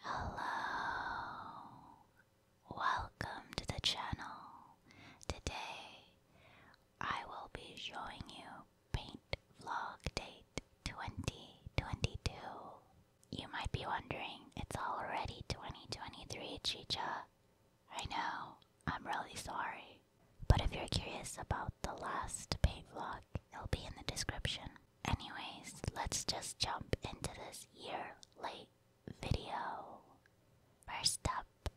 Hello, welcome to the channel. Today I will be showing you paint vlog date 2022. You might be wondering, it's already 2023, Chicha. I know, I'm really sorry. But if you're curious about the last paid vlog, it'll be in the description. Anyways, let's just jump into this year late video. First up,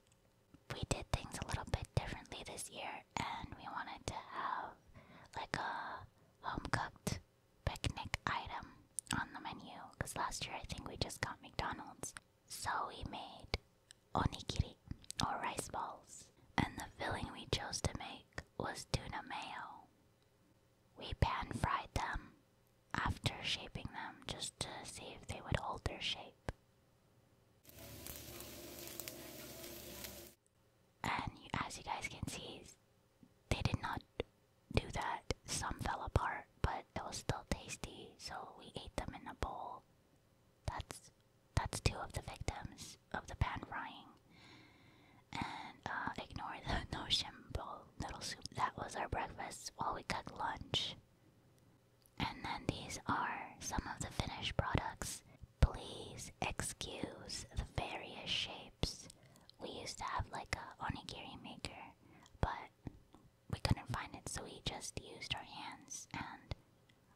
we did things a little bit differently this year, and we wanted to have like a home cooked picnic item on the menu because last year I think we just got McDonald's. So we made onigiri or rice balls, and the filling we chose to make was tuna mayo. We pan fried them after shaping them just to see if they would hold their shape. And as you guys can see, they did not do that. Some fell apart, but it was still tasty, so we ate them in a bowl. That's that's two of the victims of the pan frying. And uh, ignore the no bowl noodle soup. That was our breakfast while we cooked lunch. And then these are some of the finished products. Please excuse the various shapes. We used to have like a onigiri maker, but we couldn't find it, so we just used our hands and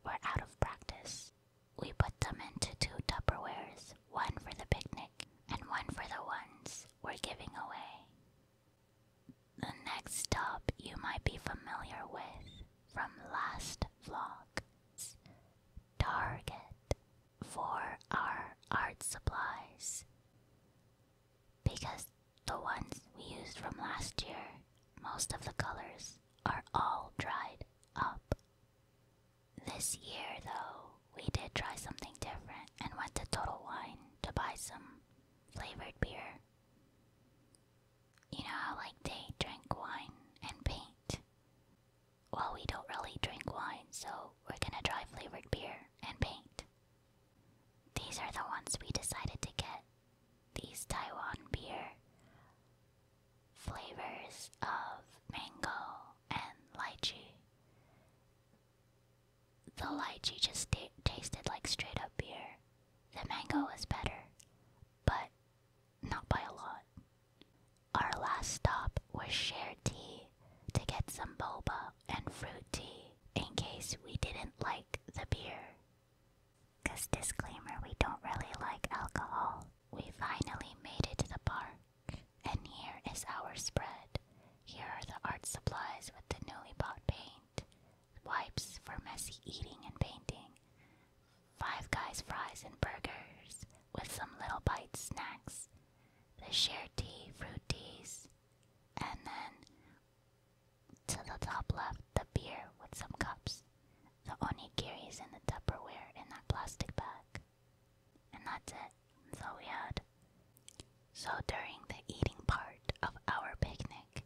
we're out of practice. We put them into two Tupperwares, one for the picnic and one for the ones we're giving away. The next stop you might be familiar with from last vlog Target for our art supplies because the ones we used from last year, most of the colors are all dried up. This year, though, we did try something different and went to Total Wine to buy some flavored beer. You know how, like, they drink wine and paint? Well, we don't really drink wine, so we're gonna try flavored beer and paint. These are the ones we decided to get. These Taiwan beer flavors of mango and lychee. The lychee just tasted like straight up beer. The mango was better, but not by a lot. Our last stop was Share Tea to get some boba and fruit tea in case we didn't like the beer. Cause disclaimer, we don't really like alcohol. We finally made it to the park, and here is our spread. Here are the art supplies with the newly bought paint, wipes for messy eating and painting, Five Guys fries and burgers with some little bite snacks, the share tea, fruit teas, and then to the top left, the beer with some cups. The onigiri is in the Tupperware in that plastic bag. And that's it. That's we had. So during the eating part of our picnic,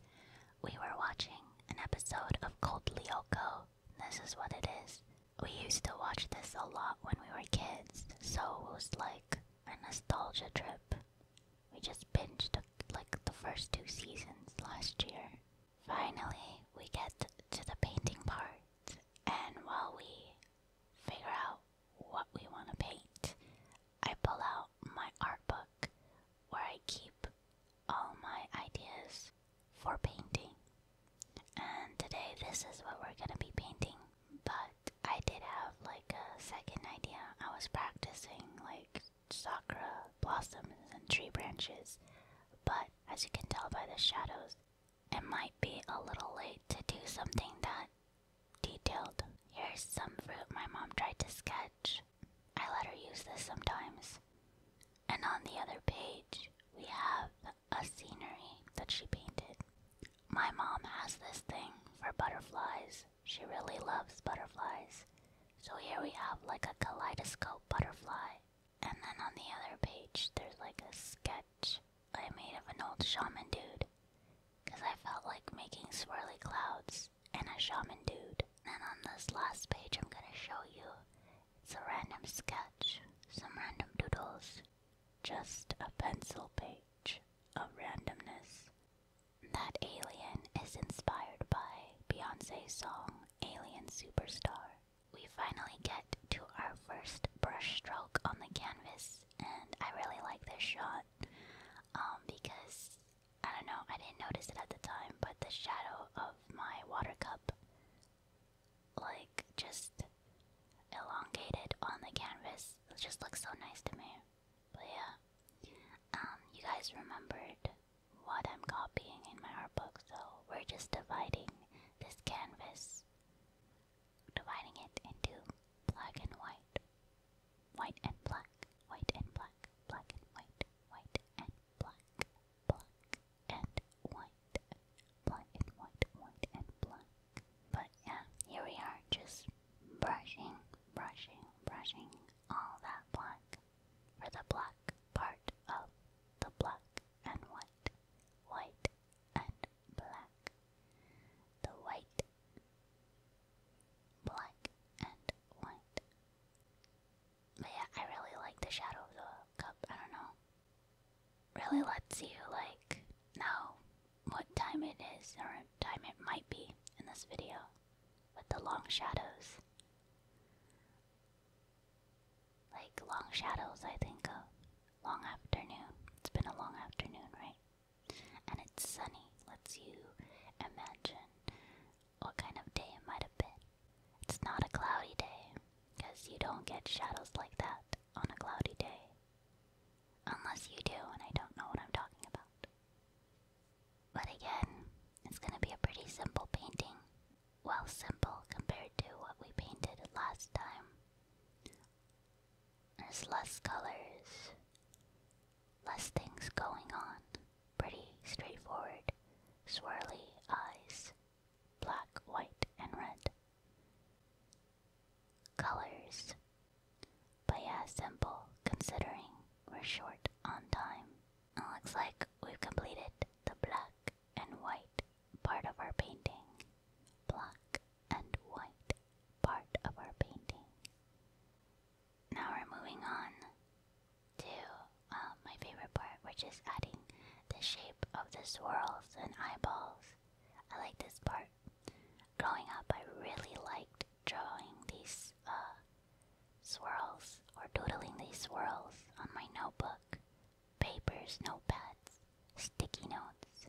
we were watching an episode of Cold Lyoko. This is what it is. We used to watch this a lot when we were kids, so it was like a nostalgia trip. We just binged like the first two seasons last year. Finally, we get to the painting part, and while we figure out what we want to paint, I pull out my art book where I keep all my ideas for painting. And today, this is what we're going to be painting but I did have like a second idea. I was practicing like sakura blossoms and tree branches, but as you can tell by the shadows, it might be a little late to do something that detailed. Here's some fruit my mom tried to sketch. I let her use this sometimes. And on the other page, we have a scenery that she painted. My mom has this thing for butterflies. She really loves butterflies. So here we have like a kaleidoscope butterfly. And then on the other page, there's like a sketch I made of an old shaman dude. Because I felt like making swirly clouds and a shaman dude. And on this last page, I'm gonna show you it's a random sketch, some random doodles, just a pencil page of randomness. That Alien is inspired by Beyonce's song Alien Superstar. We finally get to our first brushstroke on the canvas, and I really like this shot um, because I don't know, I didn't notice it at the time, but the shadow of my water cup, like, just elongated on the canvas. It just looks so nice to me. But yeah, um, you guys remembered what I'm copying in my art book, so we're just dividing this canvas, dividing it into black and white, white and black, white and black, black and white, white and black, black and white, black and white, white and black. But yeah, here we are just brushing, brushing, brushing all that black for the black part of the black and white, white and black. The white, black and white. But yeah, I really like the shadow of the cup. I don't know really lets you like know what time it is or time it might be in this video with the long shadows. Like long shadows, I think of long afternoon. It's been a long afternoon, right? And it's sunny, lets you imagine what kind of day it might have been. It's not a cloudy day, because you don't get shadows like that on a cloudy day. Unless you do, and I don't know what I'm talking about. But again, it's gonna be a pretty simple painting. Well, simple compared to what we painted last time. There's less colors, less things going on. Pretty straightforward, swirly eyes, black, white, and red colors. But yeah, simple considering we're short on time. It looks like we've completed the black and white part of our painting. Black and white part of our painting. Now we're moving on to uh, my favorite part, which is adding the shape of the swirls and eyeballs I like this part. Growing up, I really liked drawing these uh, swirls or doodling these swirls on my notebook, papers, notepads, sticky notes.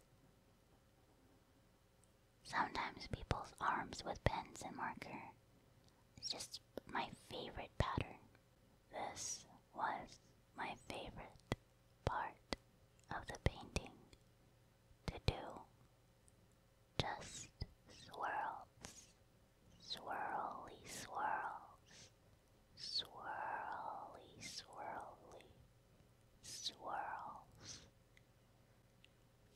Sometimes people's arms with pens and marker. It's just my favorite pattern. This was my favorite part of the painting to do. Just swirls, swirly swirls, swirly swirly, swirls,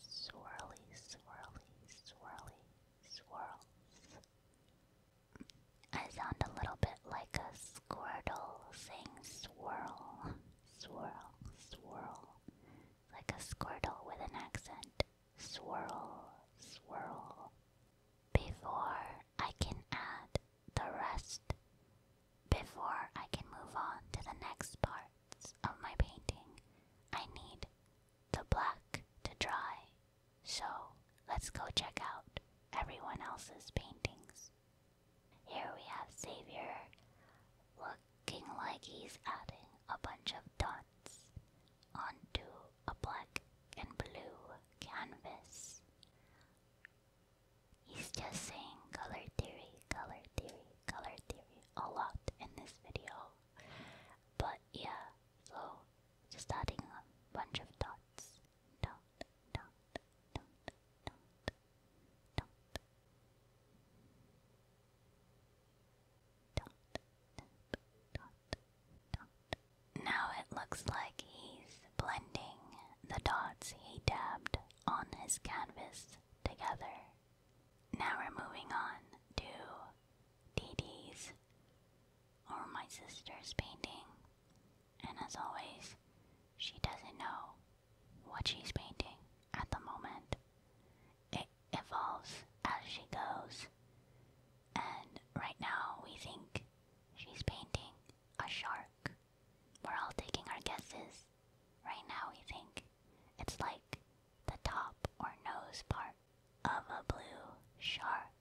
swirly swirly, swirly swirls. I sound a little bit like a Squirtle sings swirl, swirl, swirl. Like a Squirtle with an accent. Swirl, swirl. Before I can add the rest, before I can move on to the next parts of my painting, I need the black to dry. So let's go check out everyone else's paintings. Here we have Savior, looking like he's adding a bunch of dots onto a black and blue canvas. He's just saying color theory, color theory, color theory a lot in this video. But yeah, so just adding a bunch of dots now it looks like he's blending the dots he dabbed on his canvas together. Now we're moving on to Dee Dee's or my sister's painting and as always, she doesn't know what she's painting at the moment. It evolves as she goes, and right now we think she's painting a shark. We're all taking our guesses. Right now we think it's like the top or nose part of a blue shark.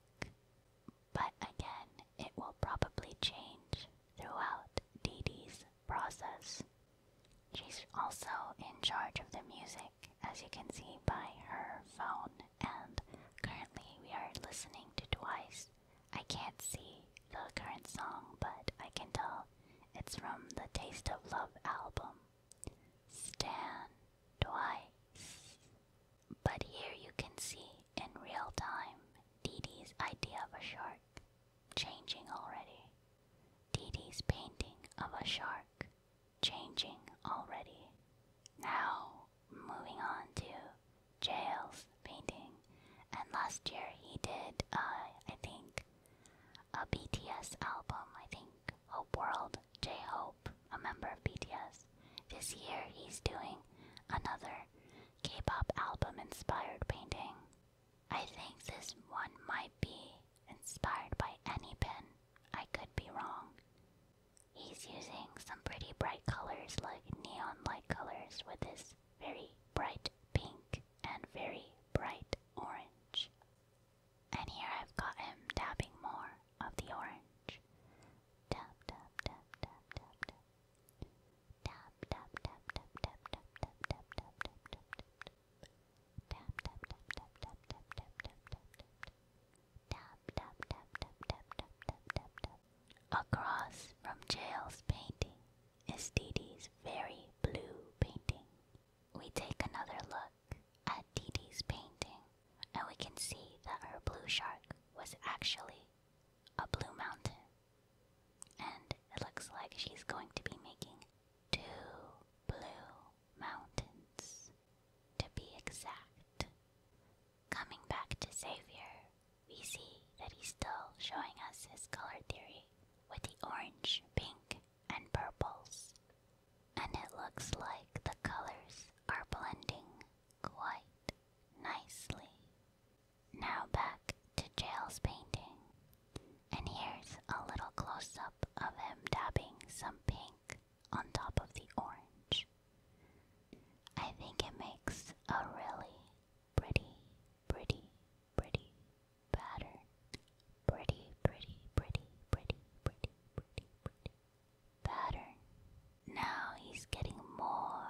But again, it will probably change throughout Dee Dee's process. She's also in charge of the music, as you can see by her phone, and currently we are listening to Twice. I can't see the current song, but I can tell it's from the Taste of Love album. Stan Twice. But here you can see in real time D.D.'s idea of a shark changing already. D.D.'s painting of a shark changing already. Now, moving on to Jail's painting. And last year he did, uh, I think, a BTS album. I think Hope World, J Hope, a member of BTS. This year he's doing another K-pop album inspired painting. I think this one might be inspired by any pen. I could be wrong. He's using some pretty bright colors like neon like colors with this very bright pink and very bright orange. And here I've got him dabbing more of the orange. dab, dab, dab, dab, dab. Tap tap tap tap tap tap tap tap tap tap tap tap tap tap tap tap tap tap tap tap Across from Jael's painting is Didi's very blue painting. We take another look at Didi's painting and we can see that her blue shark was actually a blue mountain. And it looks like she's going to be making two blue mountains, to be exact. Coming back to Xavier, we see that he's still showing us his color theory with the orange, pink, and purples. And it looks like the colors are blending quite nicely. Now back to Jail's painting. And here's a little close up of him dabbing some pink on top of the orange. I think it makes a really pretty, pretty, pretty pattern. Pretty, pretty, pretty, pretty, pretty, pretty, pretty pattern. Now he's getting more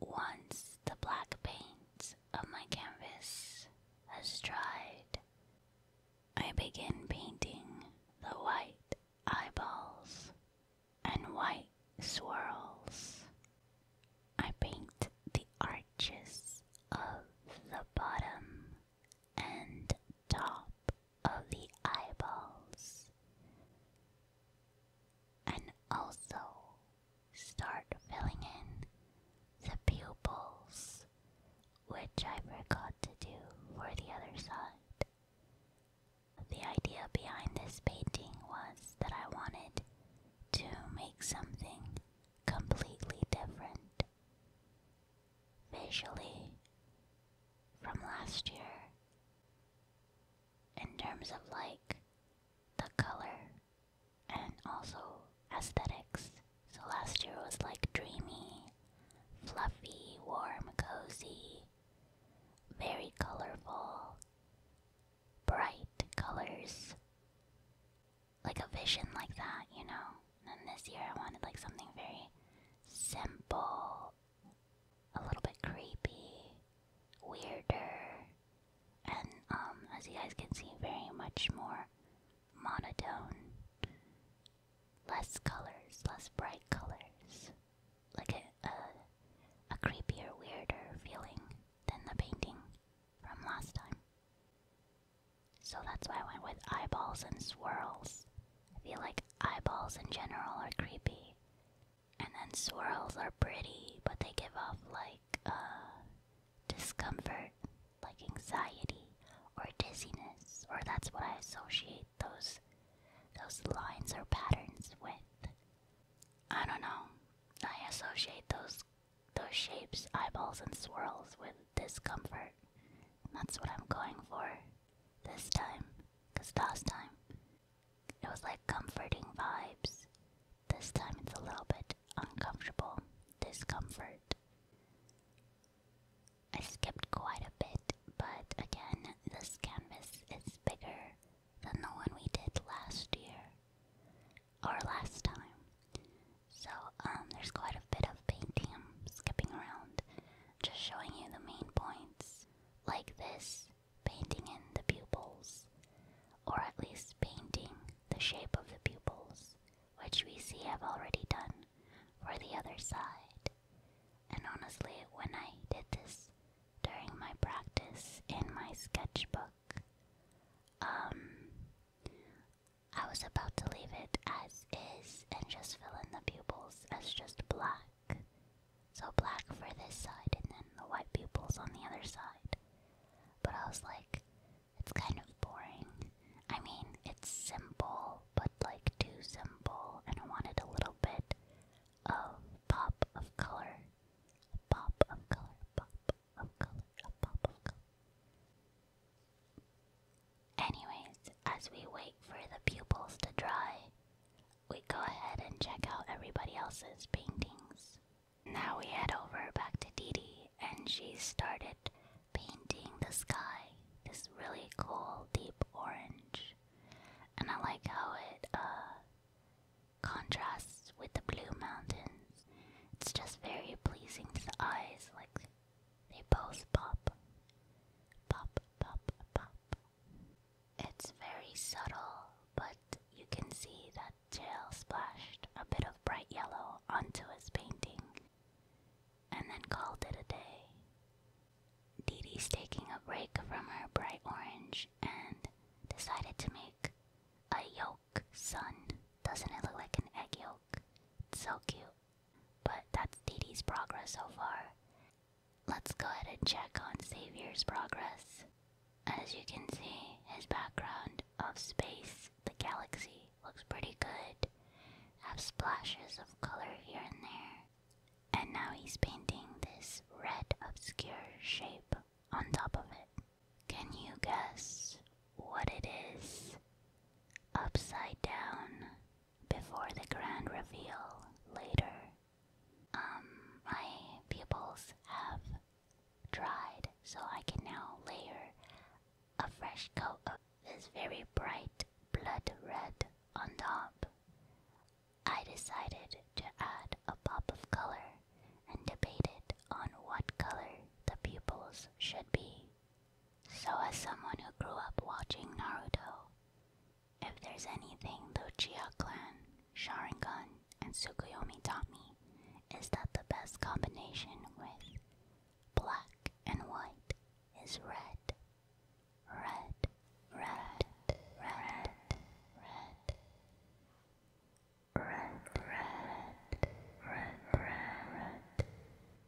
Once the black paint of my canvas has dried, I begin painting the white eyeballs and white swirls. I paint the arches of the bottom and top of the eyeballs and also start filling in the pupils, which I forgot to do for the other side. The idea behind this painting was that I wanted to make something completely different visually from last year in terms of like the color and also aesthetics. So last year was like dreamy, fluffy, warm, cozy, very colorful, bright colors. Like a vision like that, you know? And this year I wanted like something very simple, a little bit creepy, weirder, and um, as you guys can see, very much more monotone. Less colors, less bright colors. Like a, a, a creepier, weirder feeling than the painting from last time. So that's why I went with eyeballs and swirls. I feel like eyeballs in general are creepy. And then swirls are pretty, but they give off like, uh, discomfort, like anxiety or dizziness, or that's what I associate those those lines or patterns with. I don't know. I associate those those shapes, eyeballs and swirls with discomfort. that's what I'm going for this time. Because last time it was like comforting vibes. This time it's a little bit uncomfortable discomfort. I skipped quite a bit, but again, this canvas is bigger than the one we did last year or last time. So um, there's quite a bit of painting. skipping around, just showing you the main points, like this painting in the pupils, or at least painting the shape of the pupils, which we see I've already done for the other side. And honestly, when I did this during my practice in my sketchbook, um, I was about to leave it as is and just fill in the pupils as just black. So black for this side and then the white pupils on the other side. But I was like, it's kind of boring. I mean, it's simple, but like too simple, and I wanted a little bit of pop of color. A pop of color, pop of color, a pop of color. Anyways, as we wait for the pupils to dry, we go ahead and check out everybody else's paintings. Now we head over back to Didi, and she started painting the sky this really cool deep orange, and I like how it uh, contrasts with the blue mountains. It's just very pleasing to the eyes, like they both pop. Pop, pop, pop. It's very subtle, but you can see that Jill splashed a bit of bright yellow onto his painting and then called it a day. Dee Dee's taking a break from her bright orange and decided to make a yolk sun. Doesn't it look like an egg yolk? It's so cute. But that's Didi's progress so far. Let's go ahead and check on Savior's progress. As you can see, his background of space, the galaxy, looks pretty good. Have splashes of color here and there. And now he's painting this red obscure shape on top of it. Can you guess what it is upside down before the grand reveal later. Um, my pupils have dried, so I can now layer a fresh coat of this very bright blood red on top. I decided to add a pop of color and debated on what color the pupils should be. So, as someone who grew up watching Naruto, if there's anything the Uchiha clan, Sharingan, and Tsukuyomi taught me, is that the best combination with black and white is red. Red, red, red, red, red. Red, red, red, red, red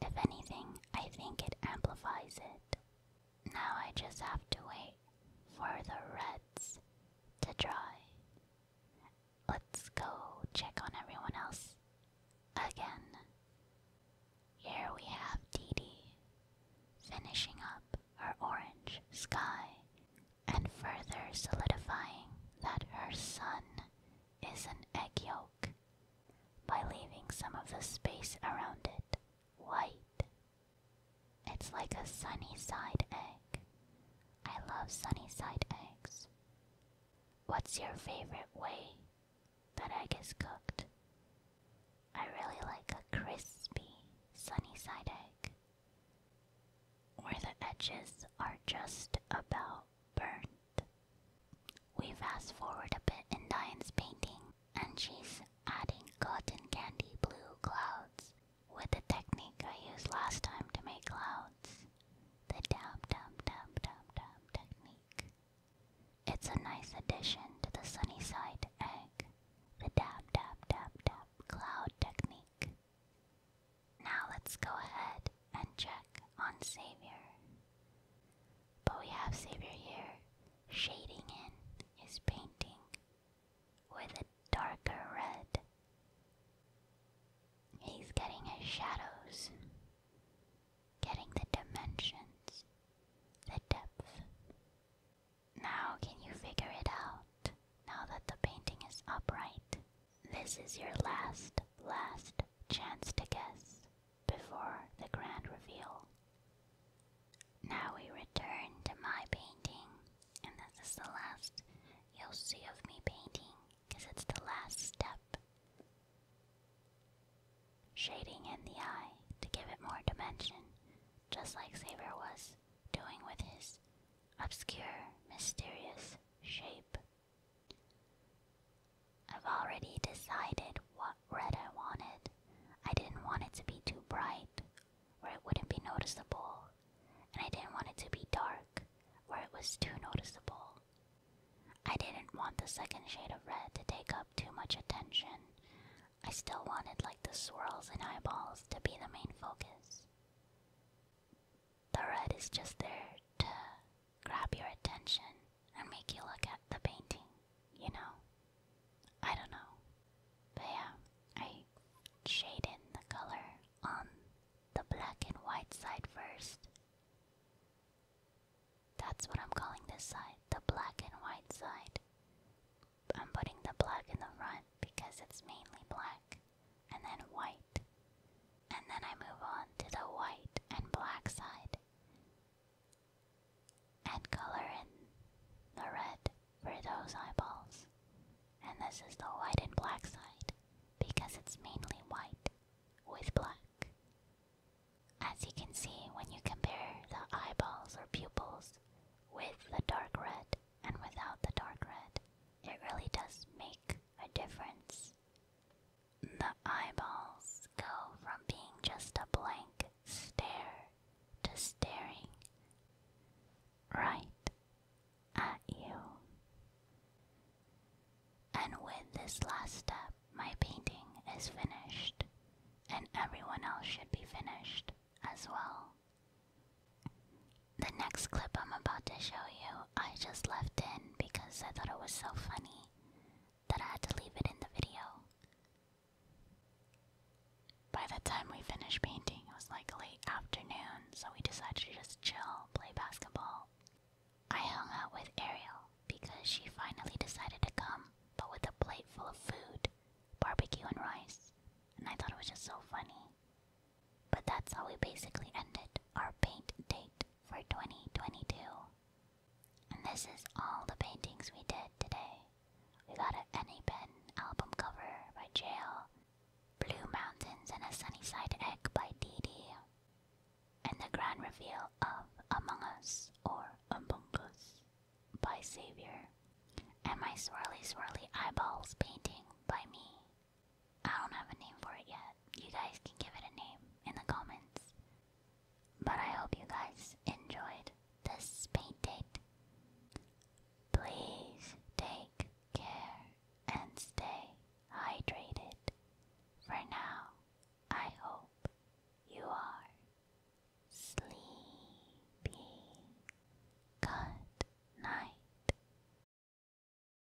If anything, I think it amplifies it. Now I just have to wait for the reds to dry. Let's go check on everyone else again. Here we have Didi finishing up her orange sky and further solidifying that her sun is an egg yolk by leaving some of the space around it white. It's like a sunny side egg. I love sunny side eggs. What's your favorite way that egg is cooked? I really like a crispy sunny side egg where the edges are just about we fast forward a bit in Diane's painting, and she's adding cotton candy blue clouds with the technique I used last time to make clouds the dab dab dab dab dab technique. It's a nice addition to the sunny side egg, the dab dab dab dab cloud technique. Now let's go ahead and check on Savior. But we have Savior here shading in his painting with a darker red. He's getting his shadows, getting the dimensions, the depth. Now, can you figure it out now that the painting is upright? This is your last, last chance to guess before the grand reveal. Now we return to my painting, and this is the last you'll see of me painting because it's the last step. Shading in the eye to give it more dimension, just like Saber was doing with his obscure, mysterious shape I've already decided what red I wanted. I didn't want it to be too bright, where it wouldn't be noticeable, and I didn't want it to be dark, where it was too noticeable. I didn't want the second shade of red to take up too much attention. I still wanted like the swirls and eyeballs to be the main focus. The red is just there to grab your attention and make you look at the painting, you know? I don't know. But yeah, I shade in the color on the black and white side first. That's what I'm calling this side, the black and white side. I'm putting the black in the front because it's mainly black, and then white and then I move on to the white and black side and color in the red for those eyeballs. And this is the white and black side because it's mainly white with black. As you can see, when you compare the eyeballs or pupils with the dark red and without the dark red, it really does make a difference. The eyeballs go from being just a blank stare to staring right at you. And with this last step, my painting is finished, and everyone else should be finished as well. The next clip I'm about to show you I just left in because I thought it was so funny that I had to leave it in the video. By the time we finished painting, it was like late afternoon, so we decided to just chill, play basketball. I hung out with Ariel because she finally decided to come, but with a plate full of food, barbecue and rice, and I thought it was just so funny. But that's how we basically ended our paint date for 2022. And this is all the paintings we did today. We got an Any Pen album cover by Jail, Blue Mountains and a Sunnyside Egg by Dee Dee, and the grand reveal of Among Us or Among by Savior, and my Swirly Swirly Eyeballs painting by me. I don't have a name for it yet. You guys can give it a name in the comments. But I hope you guys enjoyed this paint date. Please take care and stay hydrated. For now, I hope you are sleepy. Good night.